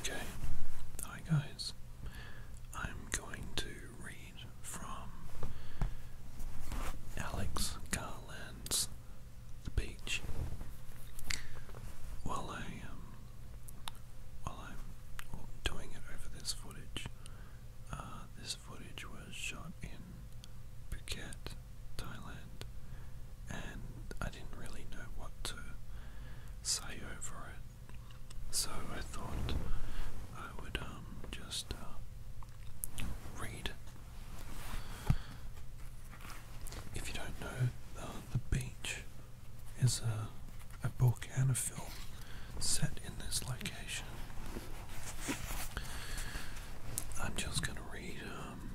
Okay, hi guys. I'm going to read from Alex Garland's speech while I um while I'm doing it over this footage. Uh, this footage was shot in Phuket Thailand, and I didn't really know what to say over it. So I thought I would um, just uh, read. If you don't know, uh, The Beach is a, a book and a film set in this location. I'm just going to read um,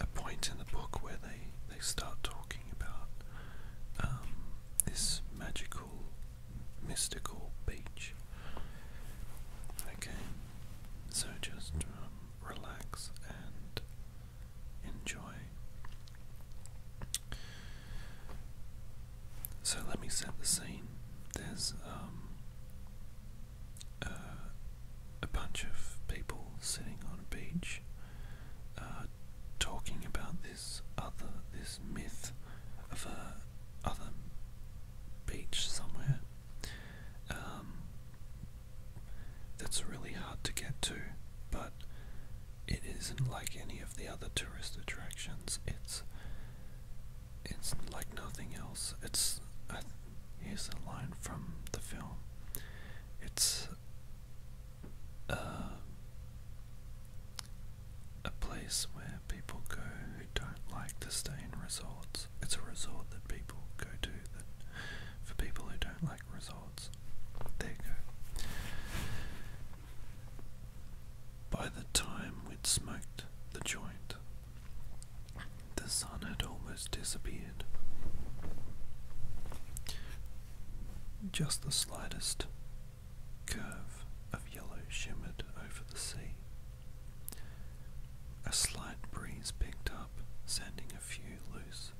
a point in the book where they, they start talking about um, this magical, mystical beach. Okay, so just um, relax and enjoy. So let me set the scene. There's um, uh, a bunch of people sitting on a beach uh, talking about this other this myth of a other beach somewhere um, that's really hard to get to but it isn't like any of the other tourist attractions it's it's like nothing else it's Here's a line from the film. It's uh, a place where people go who don't like to stay in resorts. It's a resort that people go to that for people who don't like resorts. They go. By the time we'd smoked the joint, the sun had almost disappeared. Just the slightest curve of yellow shimmered over the sea. A slight breeze picked up, sending a few loose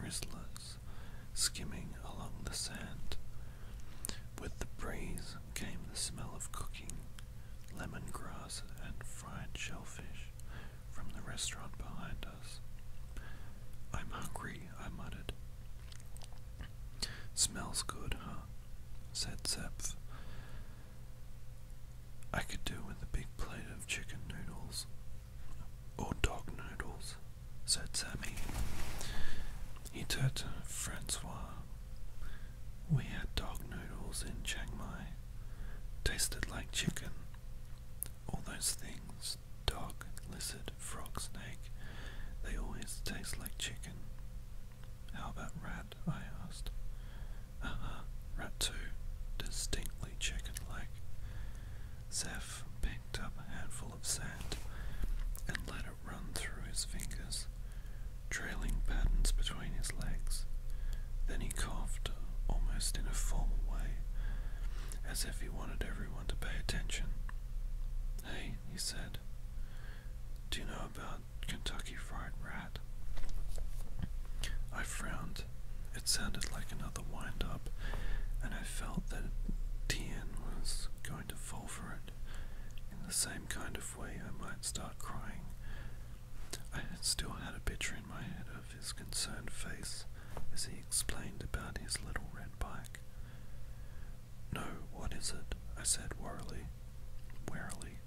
rizzlers skimming along the sand. With the breeze came the smell of cooking, lemongrass, and fried shellfish from the restaurant behind us. I'm hungry, I muttered. Smells good, huh? said Zeph. I could do with a big plate of chicken noodles. Or dog noodles, said Sammy. He turned to Francois. We had dog noodles in Chiang Mai, tasted like chicken. All those things dog, lizard, frog, snake they always taste like chicken. How about rat? I asked. Uh huh, rat too, distinctly chicken like. Zeph picked up a handful of sand and let it run through his fingers, trailing patterns between between his legs. Then he coughed, almost in a formal way, as if he wanted everyone to pay attention. Hey, he said, do you know about Kentucky Fried Rat? I frowned. It sounded like another windup, and I felt that Tien was going to fall for it in the same kind of way I might start crying I still had a picture in my head of his concerned face as he explained about his little red bike. No, what is it? I said warily. Warily.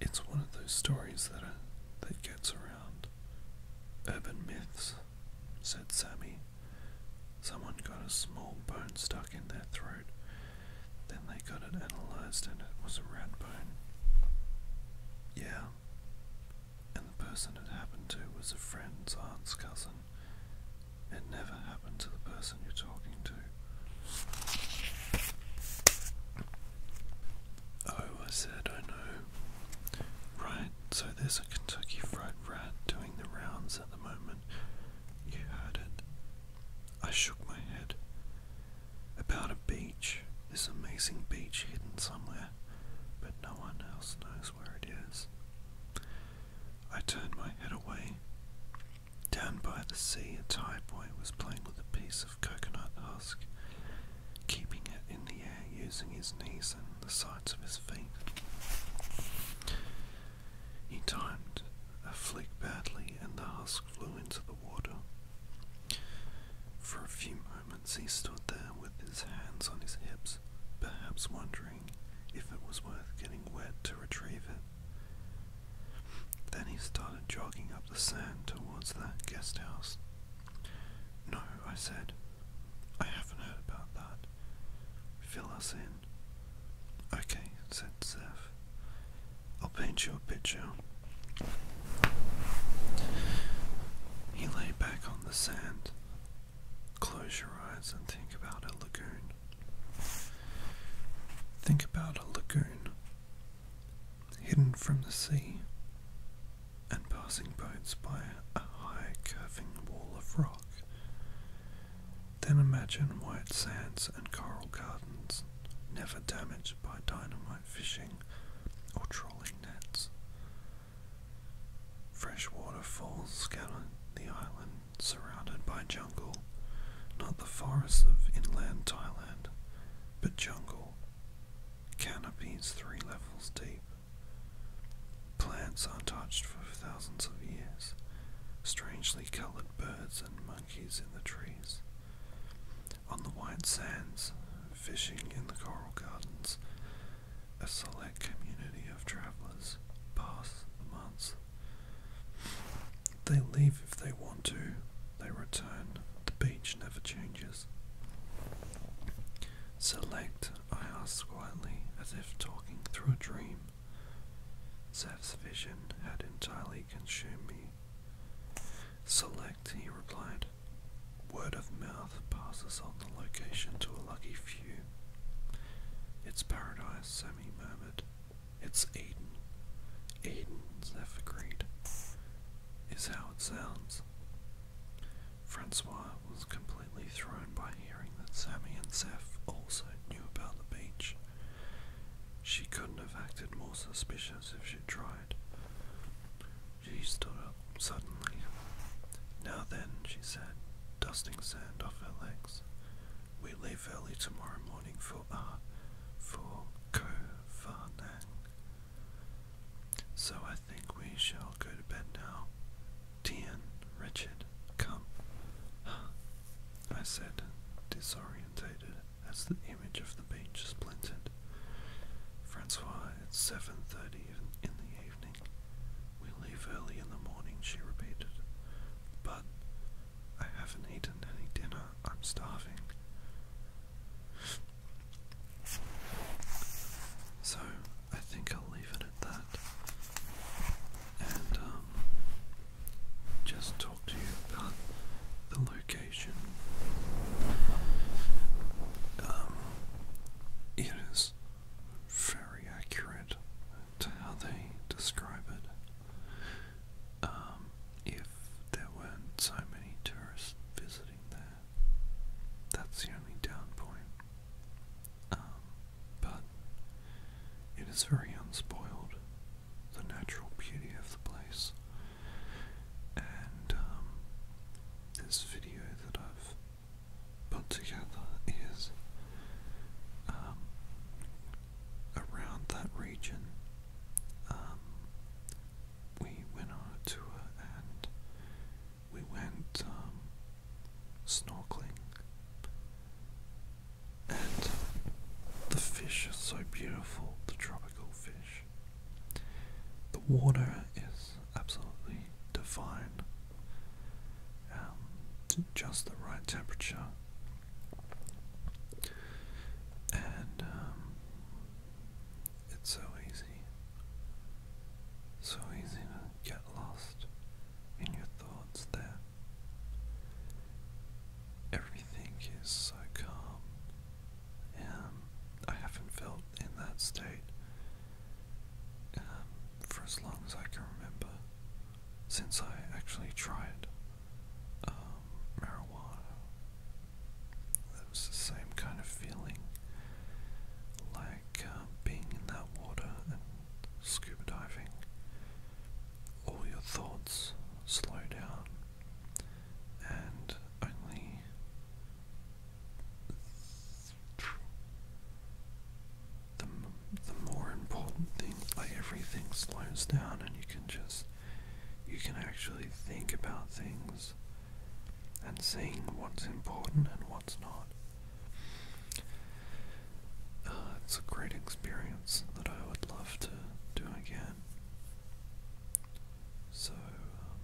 It's one of those stories that are, uh, that gets around. Urban myths, said Sammy. Someone got a small bone stuck in their throat. Then they got it analysed and it was a rat bone. Yeah. And the person it happened to was a friend's aunt's cousin. It never happened to the person you're talking to. Oh, I said, I know. Right, so there's a Kentucky Fried Rat doing the rounds at the moment. You heard it. I shook my head about a beach, this amazing beach hidden somewhere, but no one else knows where it is. I turned my head away. Down by the sea, a Thai boy was playing with a piece of coconut husk, keeping it in the air using his knees and the sides of his feet. He timed a flick badly, and the husk flew into the water. For a few moments he stood there with his hands on his hips, perhaps wondering if it was worth getting wet to retrieve it. Then he started jogging up the sand towards that guest house. No, I said. I haven't heard about that. Fill us in. Okay, said Zeph. I'll paint you a picture. He lay back on the sand. Close your eyes and think about a lagoon. Think about a lagoon hidden from the sea and passing boats by a high curving wall of rock. Then imagine white sands and coral gardens never damaged by dynamite fishing or trawling nets. Freshwater falls scour the island, surrounded by jungle, not the forests of inland Thailand, but jungle, canopies three levels deep. Plants untouched for thousands of years, strangely coloured birds and monkeys in the trees, on the white sands, fishing in the coral gardens, a select community of travellers pass the months. They leave if they want to, they return, the beach never changes. Select, I ask quietly, as if talking through a dream. Zev's vision had entirely consumed me. Select, he replied. Word of mouth passes on the location to a lucky few. It's paradise, Sammy murmured. It's Eden. Eden, Zeph agreed, is how it sounds. Francois was completely thrown by hearing that Sammy and Zeph also knew about the beach. She couldn't have acted more suspicious if she'd tried cried. She stood up suddenly. Now then, she said, dusting sand off her legs, we leave early tomorrow morning for Ah, uh, for Ko Farnang. So I think we shall go to bed now. Tien, Richard, come. I said, disorientated as the image of the beach is splintered. Francois, it's seven thirty in the evening. We leave early in the morning, she repeated. But I haven't eaten any dinner. I'm starving. So I think I'll leave it at that. And um, just talk to you about the location. Um, it is very accurate to how they describe it. Um, if there weren't so many tourists visiting there, that's the only down point. Um, but it is very unspoiled the natural beauty of the place. And um, this video that I've put together is um, around that region. Um, we went on a tour and we went snorkeling, and the fish are so beautiful, the tropical fish. The water is absolutely divine. Um, just the right temperature. And um, it's so easy, so easy to get lost in your thoughts there. Everything is so calm I haven't felt in that state um, for as long as I can remember since I actually tried um, marijuana. It was the same kind of feeling like um, being in that water and scuba diving. All your thoughts slow down and only the, the more important things, like everything slows down and you can just, you can actually think about things and seeing what's important and what's not. Uh, it's a great experience that I would love to do again. So, um,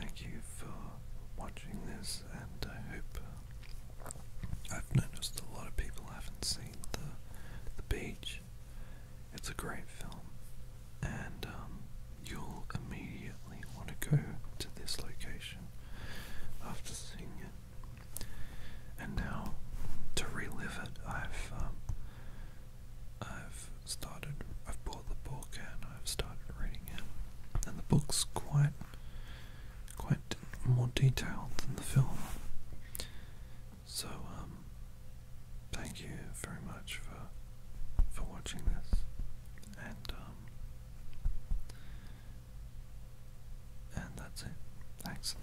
thank you for watching this, and I hope uh, I've noticed a lot of people haven't seen the the beach. It's a great film, and um, you'll immediately want to go to this location after seeing it. And now, to relive it, I've um, I've started, I've bought the book and I've started reading it. And the book's quite, quite more detailed than the film. So, um, thank you very much for, for watching this. And, um, and that's it. Thanks.